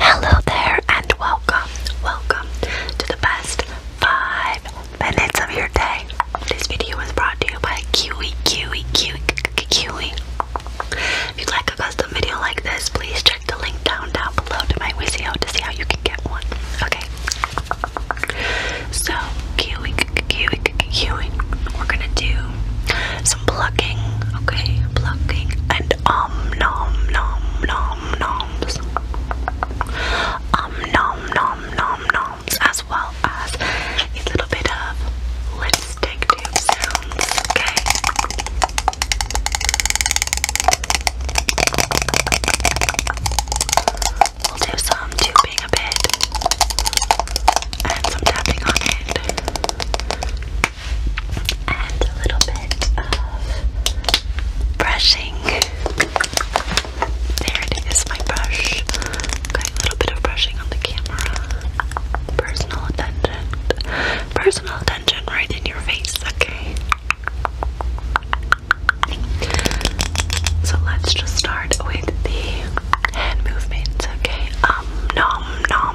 Hello there, and welcome, welcome to the best five minutes of your day. This video is brought to you by Kiwi, Kiwi, Kiwi, Kiwi. If you'd like a custom video like this, please check the link down, down below to my Wizio to see how you can get one. Okay. So, Kiwi, Kiwi, Kiwi. We're gonna do some plucking, okay, plucking, and um nom nom nom noms, um nom nom nom noms, as well as a little bit of lipstick tube sounds, okay. We'll do some tubing a bit and some tapping on it and a little bit of brushing. There it is, my brush. Okay, a little bit of brushing on the camera. Personal attention. Personal attention right in your face, okay? So let's just start with the hand movements, okay? Um, nom, nom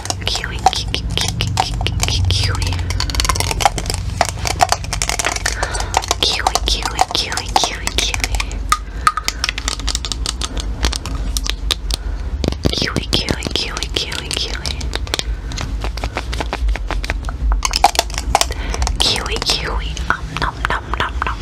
Kiwi, kiwi, kiwi, kiwi, kiwi, kiwi, kiwi, kiwi, kiwi. Kiwi, kiwi, kiwi, kiwi, kiwi. Kiwi, kiwi, um, nom, nom, nom, nom, nom.